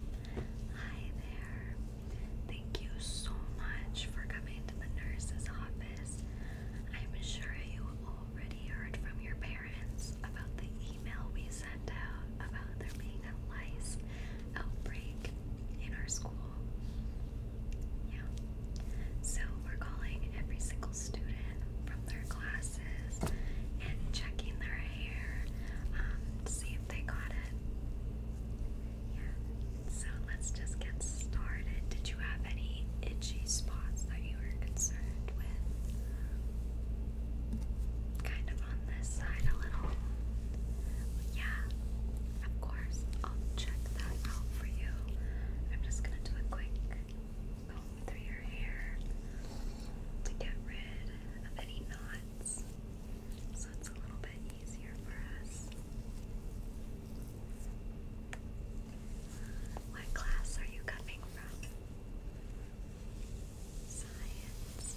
Hi there. Thank you so much for coming to the nurse's office. I'm sure you already heard from your parents about the email we sent out about the lice outbreak in our school. Yeah. So we're calling every single student from their classes and checking their hair um, see they got it. Yeah. So let's just get started. Did you have any itchy spots that you were concerned with? Kind of on this side a little. Yeah. Of course. I'll check that out for you. I'm just gonna do a quick comb through your hair to get rid of any knots so it's a little bit easier for us. What class are you coming from? Science.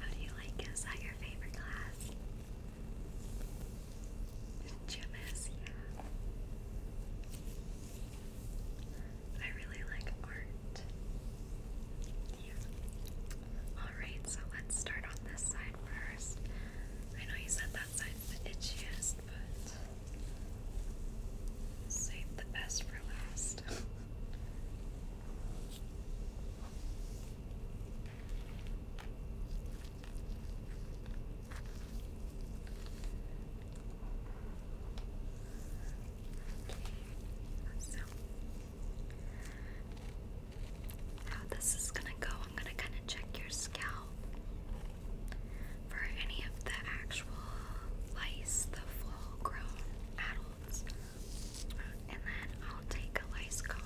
How do you like it? Is that your favorite class? Gym is, yeah. I really like art. Yeah. Alright, so let's start on this side first. I know you said that side side's the itchiest, but save the best for last how this is gonna go, I'm gonna kind of check your scalp for any of the actual lice, the full grown adults, and then I'll take a lice comb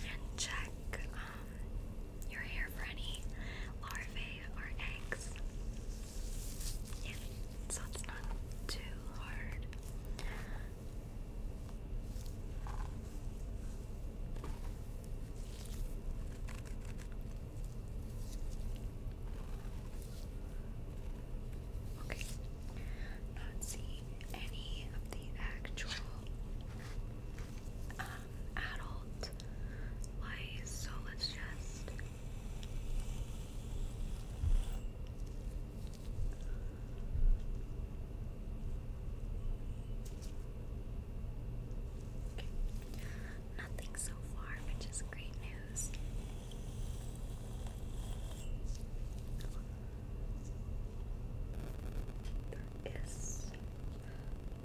and check um, your hair for any larvae or eggs. so it's not too hard. Okay, not seeing any of the actual um, adult lice, so let's just Nothing so far, which is great news. There is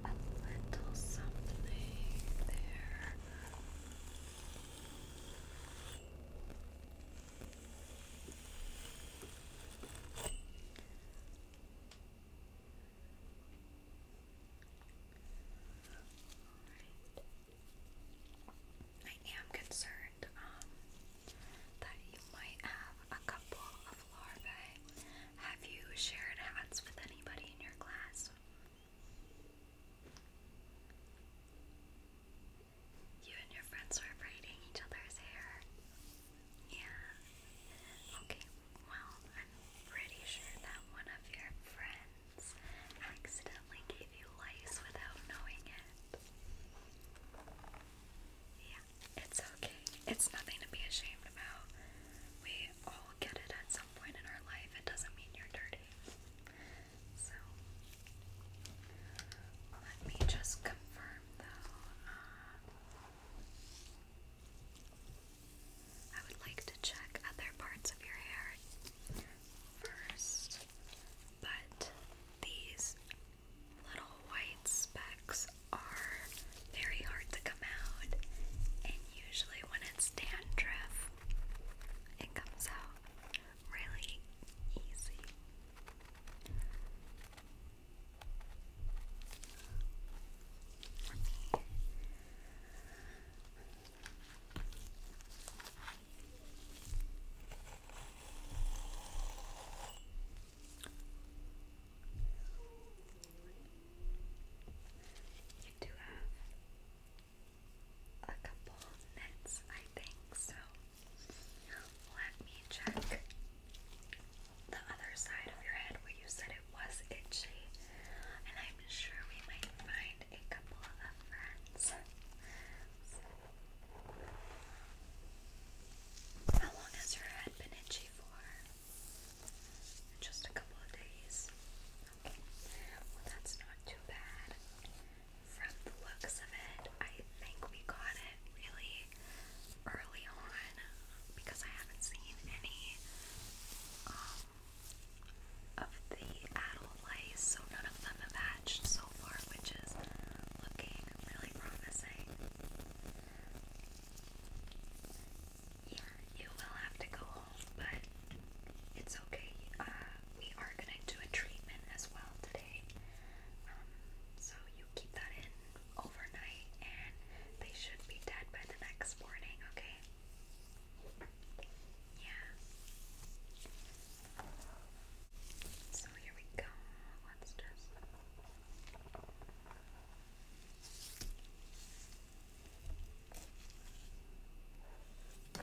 a little something there. Right. I am concerned um, that you might have a couple of larvae. Have you shared hats with anybody in your class? You and your friends were braiding each other's hair. Yeah. Okay, well, I'm pretty sure that one of your friends accidentally gave you lice without knowing it. Yeah, it's okay. It's nothing to be ashamed about. We all get it at some point in our life. It doesn't mean you're dirty. So let me just confirm though. Uh, I would like to check other parts of your hair first, but these little white specks are very hard to come out, and usually when it's dandruff, it comes out really easy. you do have a couple of minutes, I think. So let me check the other side of your head where you said it was itchy, and I'm sure we might find a couple of friends. How long has your head been itchy for? Just a couple of days. Well, that's not too bad. From the looks of it, I think we got it really early on because I haven't seen any um, of the adult lice, so none of them have hatched so far, which is looking really promising. you will have to go full, but it's okay. Uh, we are gonna do a treatment as well today, um, so you keep that in overnight, and they should be dead by the next morning. Okay? Yeah. So here we go. Let's just.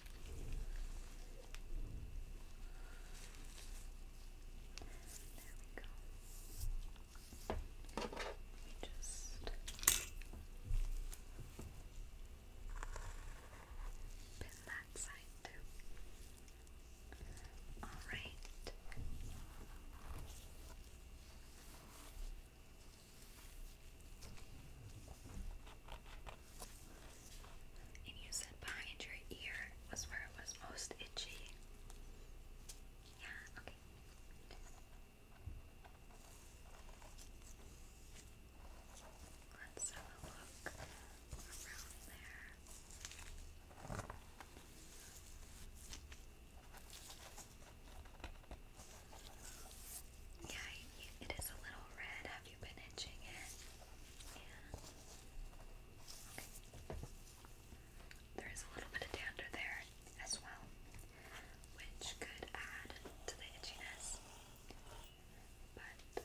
There we go. We just pin that side too. All right. And you said behind your ear was where it was most itchy. Yeah, okay. Let's have a look around there. Yeah, it is a little red. Have you been itching it? Yeah. There is a little bit of dander there as well, which could add to the itchiness. But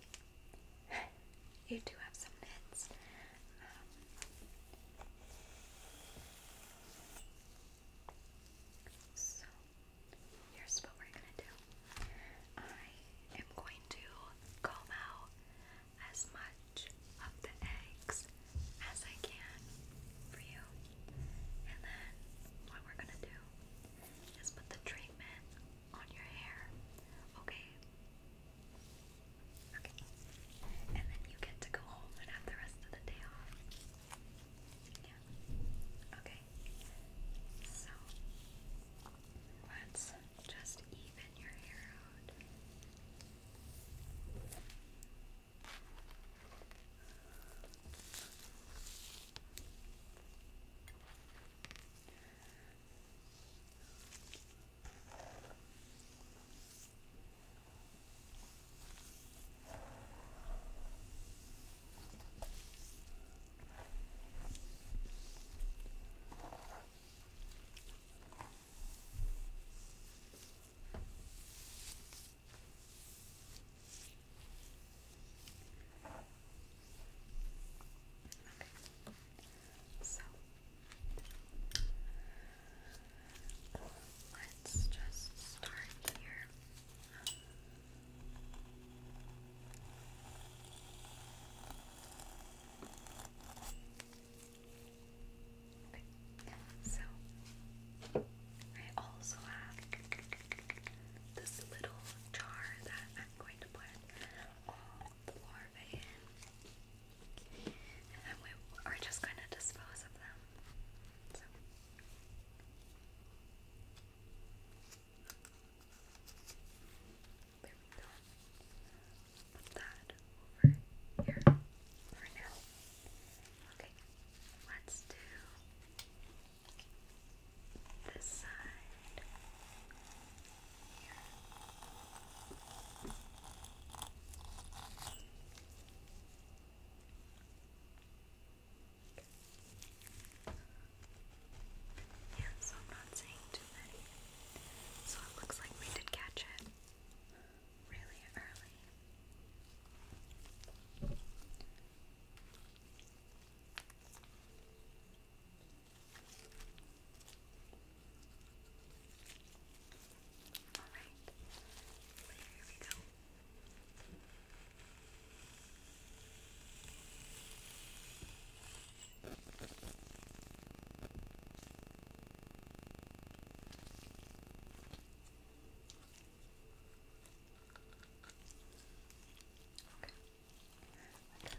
you do have some nits. Um, so here's what we're gonna do. I am going to comb out as much of the eggs as I can for you. And then what we're gonna do is put the treatment on your hair. Okay. Okay. And then you get to go home and have the rest of the day off. Yeah. Okay. So let's just even your hair out. So let's just start here. Okay. So I also have this little jar that I'm going to put all the larvae in. And we are just going to dispose of them. There we Put that over here for now. Okay, let's do this side yeah, so I'm not saying too many. So it looks like we did catch it really early. Alright, here we go. That's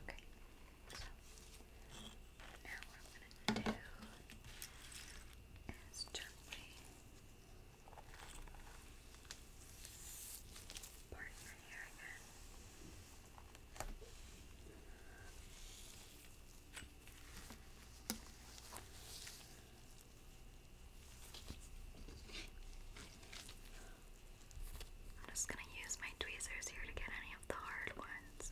okay. So now what i gonna do is gently part your I'm just going to use my tweezers here to get any of the hard ones.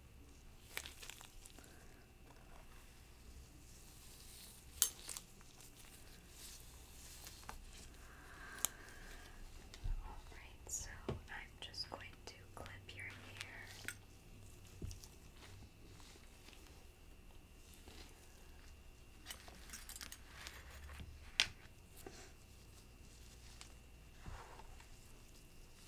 Alright, so I'm just going to clip your hair.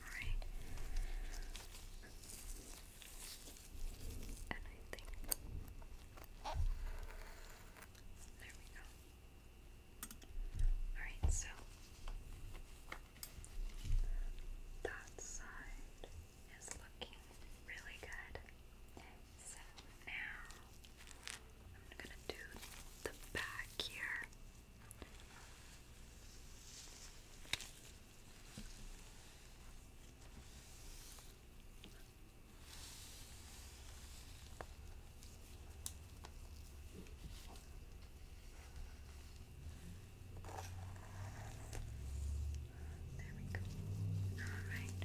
All right. And I think there we go. All right, so that side is looking really good. So now I'm gonna do the back here. There we go. All right.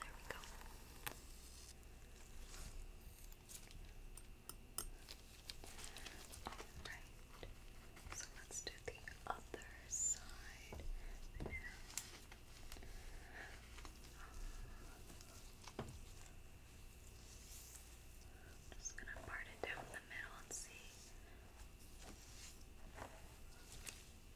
There we go. Alright, so let's do the other side just going to part it down the middle and see.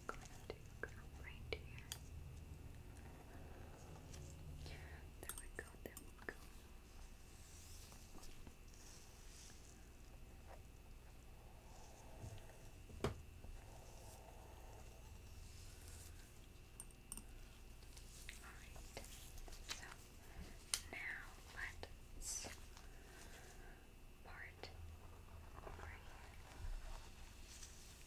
just going There we go, there we go. Alright, so now let's part over here.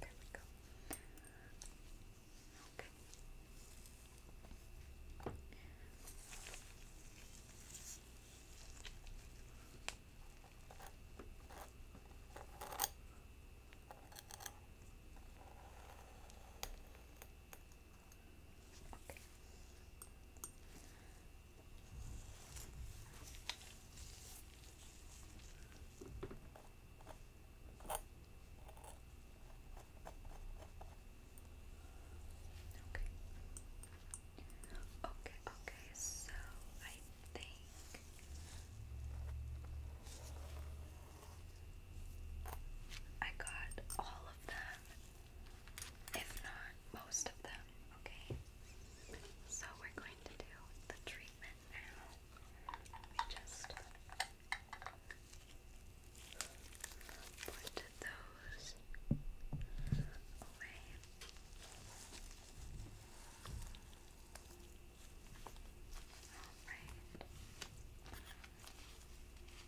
There we go. Okay. Okay. Okay. Okay, okay, so I think I got all of them, if not most of them, okay? So we're going to do the treatment now. We just put those away. Alright.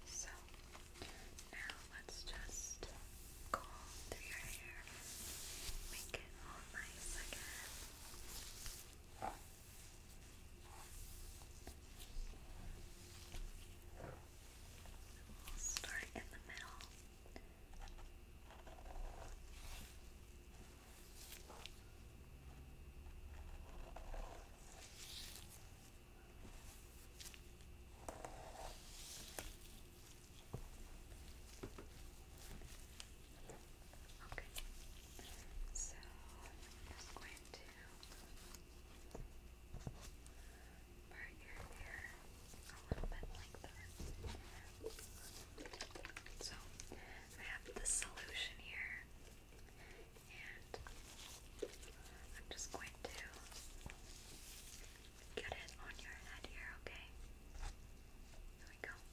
So now let's just comb through your hair, make it all nice again. We'll start in the middle. Okay, so I'm just going to part your hair a little bit like that. So I have the solution here, and I'm just going to get it on your head here, okay? There we go.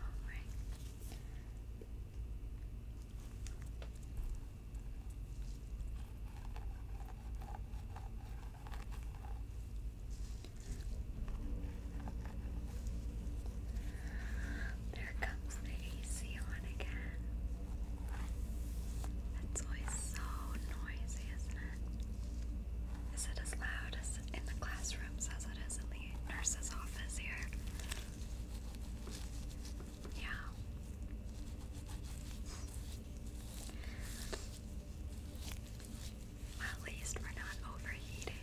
Alright. There comes the AC on again. That's always so noisy, isn't it? Is it as loud as in the classrooms as it is in nurse's office here. Yeah. At least we're not overheating.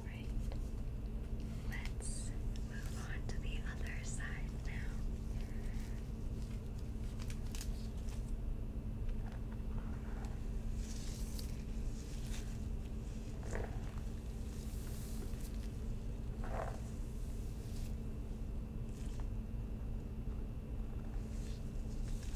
Alright, let's move on to the other side now.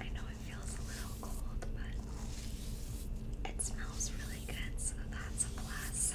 I know it feels a little cold, but it smells really good, so that's a plus.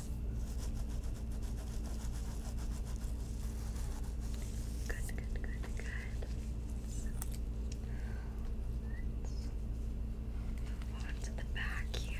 Good, good, good, good. move on to the back here.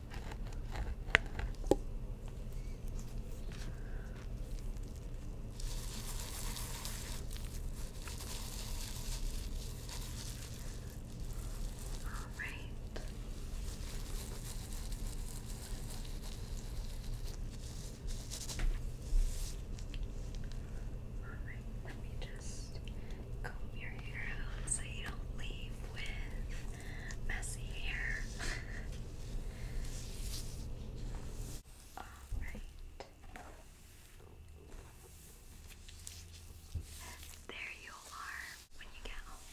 All right. Alright, let me just comb your so you don't leave with messy hair. Alright. There you are. When you get home,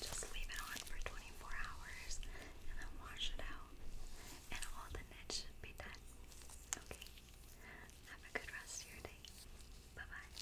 just leave it on for 24 hours and then wash it out. And all the knits should be done. Okay? Have a good rest of your day. Bye bye.